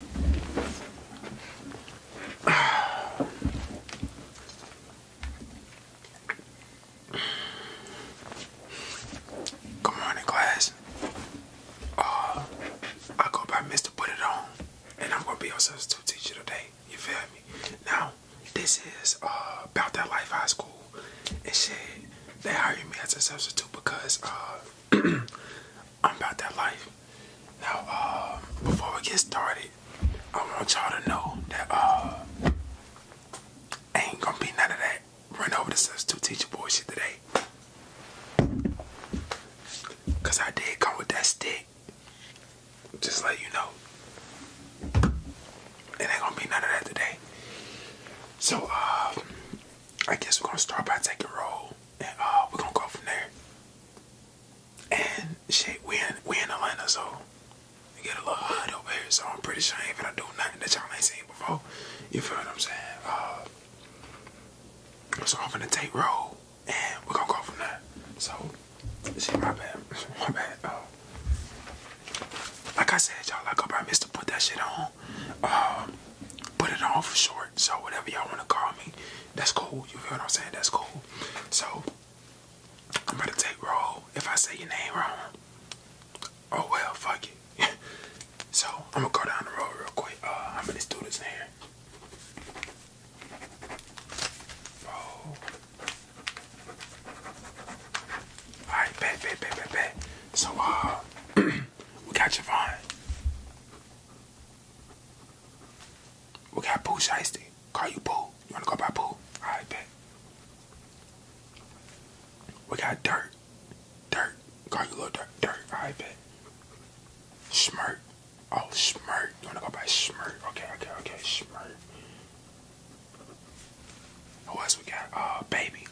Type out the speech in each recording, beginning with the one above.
Good morning, class. Uh, I go by Mr. Put It On, and I'm gonna be your substitute teacher today. You feel me? Now, this is uh, about that life high school and shit. They hired me as a substitute because uh, I'm about that life. Now, uh, before we get started, I want y'all to know that uh, ain't gonna be none of that run over the substitute teacher bullshit today. Cause I did come with that stick. Just let you know. It ain't gonna be none of that today. So, uh, I guess we're gonna start by taking roll and uh, we're gonna go from there. And shit, we in we in Atlanta, so get a little hot over here. So I'm pretty sure I ain't gonna do nothing that y'all ain't seen before. You feel what I'm saying? Uh, so I'm gonna take roll, and we're gonna go from there. So, shit, my bad, my bad. Uh. like I said, y'all, like I promised to put that shit on. Um, put it on short. So whatever y'all want to call me, that's cool. You feel what I'm saying? That's cool. So I'm gonna take roll. If I say your name wrong, oh well, fuck it. so I'm gonna go down the road real quick. i Uh, how many students in here? Oh. Alright, So, uh, we got Javon. We got Pooh Shiesty. Call you Pooh. You wanna go by Pooh? Alright, bet. We got Dirt. Dirt. Call you Little Dirt. Dirt. Alright, bet. Smirk. Oh, smirk. You wanna go by smirk? Okay, okay, okay. smirk. Oh, else we got? Uh, Baby.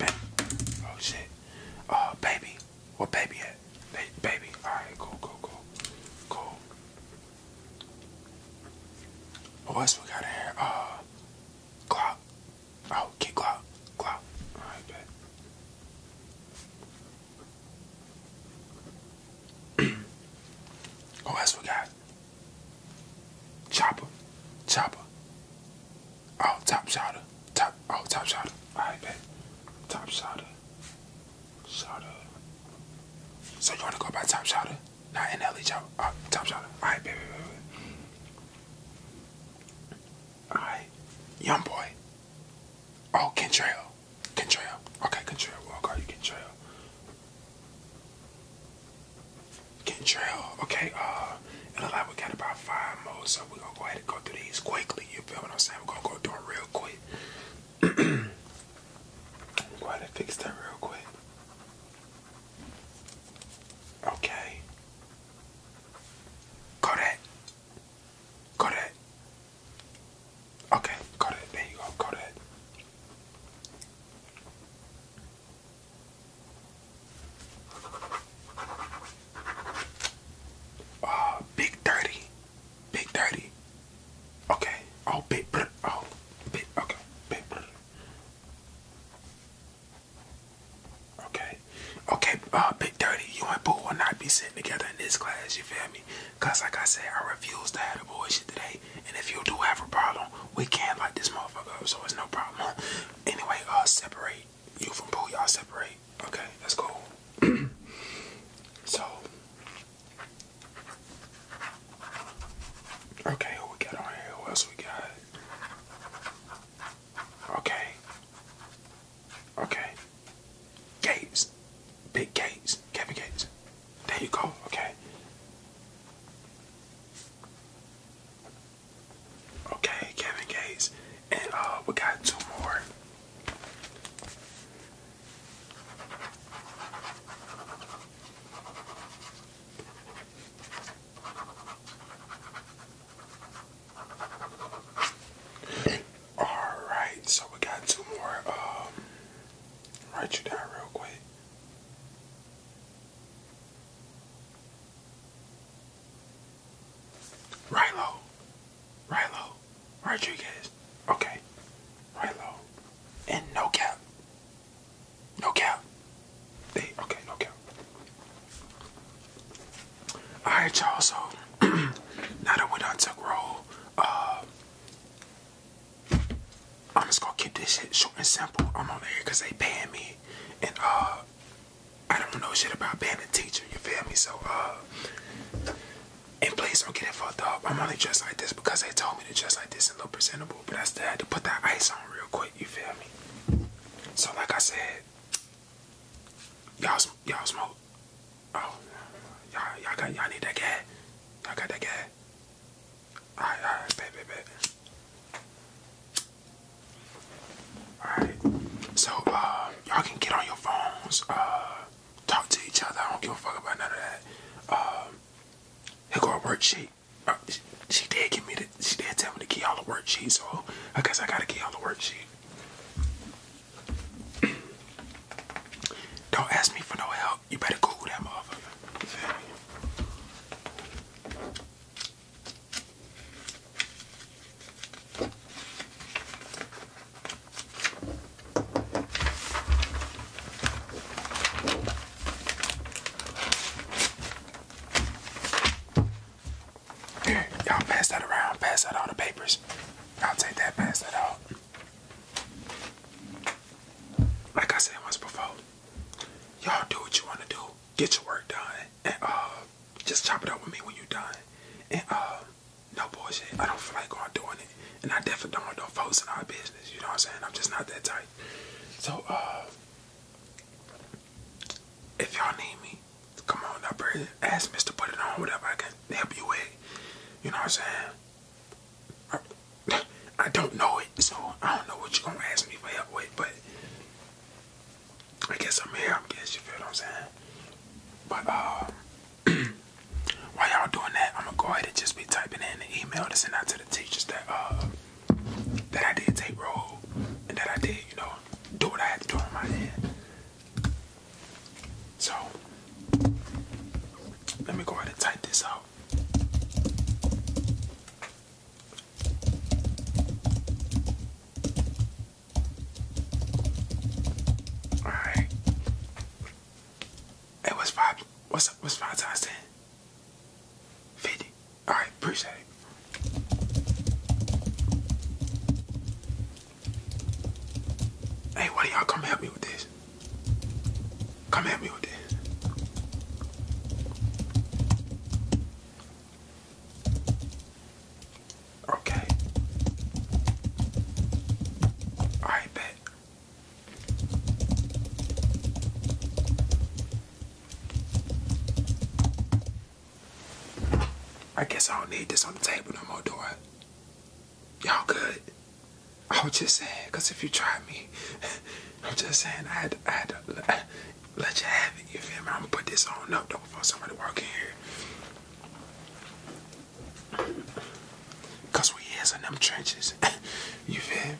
Oh, shit. Oh Baby. Well, baby at? They, baby. Alright, cool, cool, cool. Cool. What else we got here? Uh, Glock. Oh, get Glock. Glock. Alright, bet. what else we got? Chopper. Chopper. Oh, top shotter. Top, oh, top shotter. All right, bet. Top shotter. Shotter. So you want to go by top shotter? Not NLE, job. Oh, top shotter. All right, baby, baby. All right. Young boy. Oh, Contrail. Contrail. Okay, Contrail. We'll call you Contrail. Contrail. Okay, uh it like we got about five more, so we're gonna go ahead and go through these quickly. You feel what I'm saying? We're gonna go through them real quick. go ahead and fix that real quick. Okay. Got it. Got it. Okay, got it. There you go. Got it. Uh, big thirty, big thirty. Okay. Oh, big. Oh, big. Okay, big. Brr. Okay, okay, uh, Big Dirty, you and Boo will not be sitting together in this class, you feel me? Cause like I said, I refuse to have a boy shit today, and if you do have a problem, we can not light this motherfucker up, so it's no problem. Anyway, uh, separate, you from pool, y'all separate. Okay, that's cool. so, okay, who we got on here? Who else we got? Okay, okay, Gates, Big Gates, Kevin Gates. There you go. Okay. Okay, Kevin Gates. And uh we got two more. Alright, so we got two more. Um write you down real quick. Rilo. Rilo. Rodriguez. Okay. Rilo. And no cap. No cap. They okay, no cap. Alright y'all, so now that we done took roll, uh I'm just gonna keep this shit short and simple. I'm on there because they paying me and uh I don't know shit about being a teacher, you feel me? So, uh, and please don't get it fucked up. I'm only dressed like this because they told me to dress like this and look presentable, but I still had to put that ice on real quick, you feel me? So, like I said, y'all y'all smoke. Oh, y'all y'all got y'all need that gas. I got that gas. Alright, So, uh, y'all can get on your phones, uh, talk to each other. I don't give a fuck about none of that. Um, here go a worksheet. Uh, she, did give me the, she did tell me to get y'all a worksheet, so I guess I gotta get y'all a worksheet. Don't ask me for no help. You better Google that motherfucker. Here, y'all pass that around. Pass out all the papers. I'll take that. Pass that out. Like I said once before, y'all do what you want to do get your work done, and uh, just chop it up with me when you're done. And uh, no bullshit. I don't feel like going doing it, and I definitely don't want no folks in our business. You know what I'm saying? I'm just not that type. So uh, if y'all need me, come on up here. Ask Mister, put it on whatever I can help you with. You know what I'm saying? I don't know it, so I don't know what you're gonna ask me for help with, but I guess I'm here, I guess you feel what I'm saying? But uh while y'all doing that, I'm gonna go ahead and just be typing in the email to send out to the teachers that uh that I did take roll and that I did, you know, do what I had to do on my end. So let me go ahead and type this out. All right. Hey, what's five? What's up? What's five times ten? All right, appreciate it. Hey, why do y'all come help me with this? Come at me with this. Okay. All right, bet. I guess I don't need this on the table no more, do I? Y'all good? I was just saying, because if you try me, I'm just saying, I had to, let, you have it. You feel me? I'm going to put this on up, don't before somebody walk in here. Because we is in them trenches. you feel me?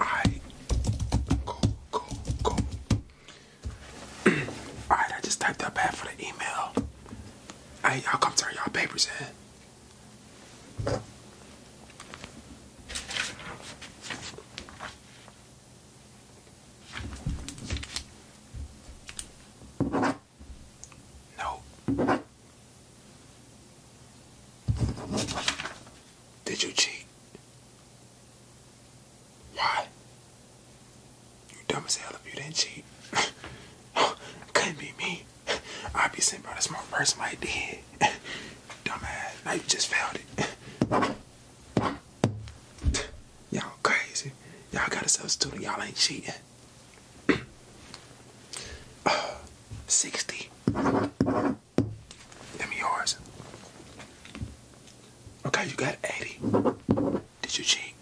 Alright, cool, cool, cool. Alright, I just typed that bad for the email. Hey, y'all come turn y'all papers in. No. Did you cheat? Why? You dumb as hell if you didn't cheat. Couldn't be me. I'd be sitting by the smart person like did. Dumbass. Now you just failed it. Y'all crazy. Y'all got a substitute. Y'all ain't cheating percent. Uh, Sixty. yours. Okay, you got eighty. Did you cheat?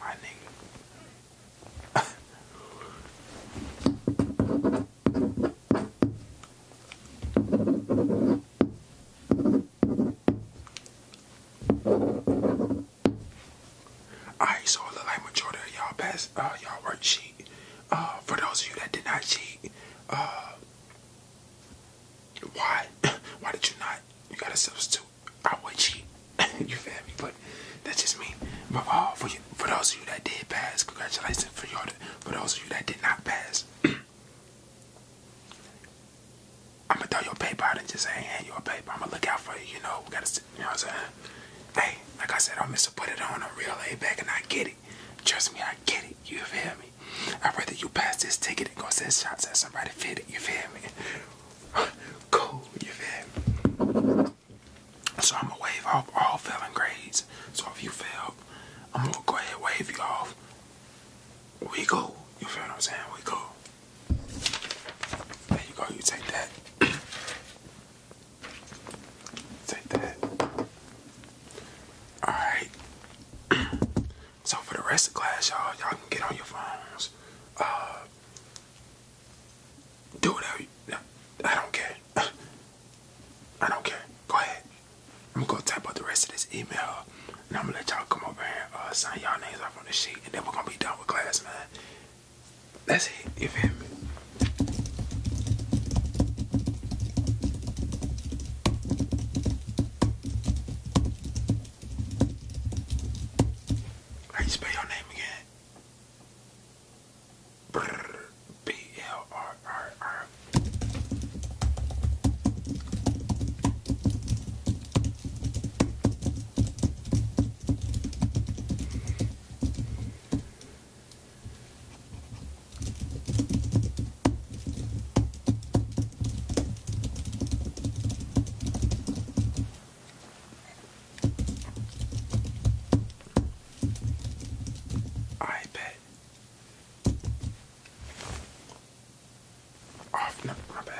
My nigga. Alright, so it like majority of y'all passed. uh y'all worksheet. cheat. Uh, for those of you that did not cheat, uh, why? why did you not? You got a substitute. I would cheat. you feel me? But that's just me. But all uh, for you, for those of you that did pass, congratulations. For y'all, for those of you that did not pass, I'm gonna throw your paper out and just say, hey, a paper. I'm gonna look out for you, you know. We gotta, you know what I'm saying? Hey, like I said, I'm a Put It On. a real A bag and I get it. Trust me, I get it. You feel me? I'd rather you pass this ticket and go send shots at somebody fit it. You feel me? cool. You feel So I'm gonna wave off all failing grades. So if you fail, I'm gonna go ahead wave you off we go. You feel what I'm saying? We go. There you go. You take that. take that. Alright. so for the rest of class, y'all, y'all can get on your phones. Uh, do whatever I don't care. I don't care. Go ahead. I'm gonna type out the rest of this email and I'm gonna let y'all come over here uh, sign y'all names off on the sheet, and then we're gonna be done with class, man. That's it. You feel me? How you spell your name again? B L R R R. I bet off my bad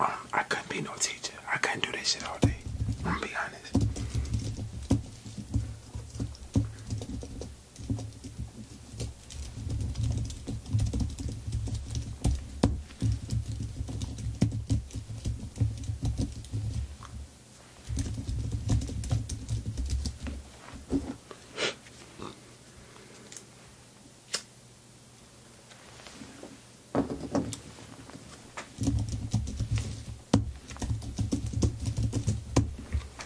um, I couldn't be no teacher. I couldn't do this shit all day. I'm gonna be honest.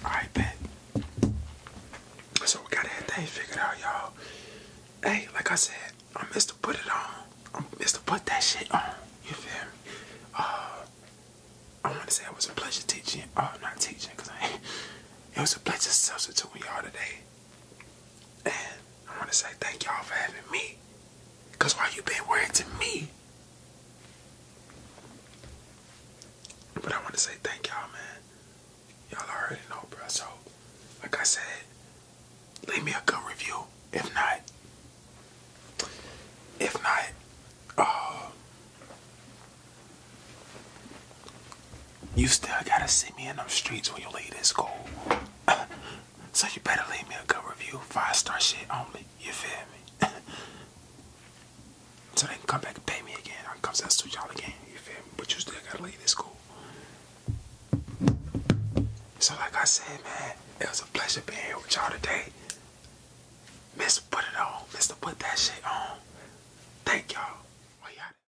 Alright, bet. So we got everything figured out, y'all. Hey, like I said, I'm Mr. Put It On. I'm Mr. Put That Shit On. You feel me? Uh, I want to say it was a pleasure teaching. Oh, uh, I'm not teaching, because I It was a pleasure substituting y'all today. And I want to say thank y'all for having me. Because why you been wearing to me. But I want to say thank y'all, man. Y'all already know, bro. So, like I said, leave me a good review. If not, if not, uh, you still gotta see me in them streets when you leave this school. so you better leave me a good review. Five star shit only. You feel me? so they can come back and pay me again. I can come to y'all again. You feel me? But you still gotta leave this school. So like I said, man, it was a pleasure being here with y'all today. Mr. Put it on. Mr. Put that shit on. Thank y'all.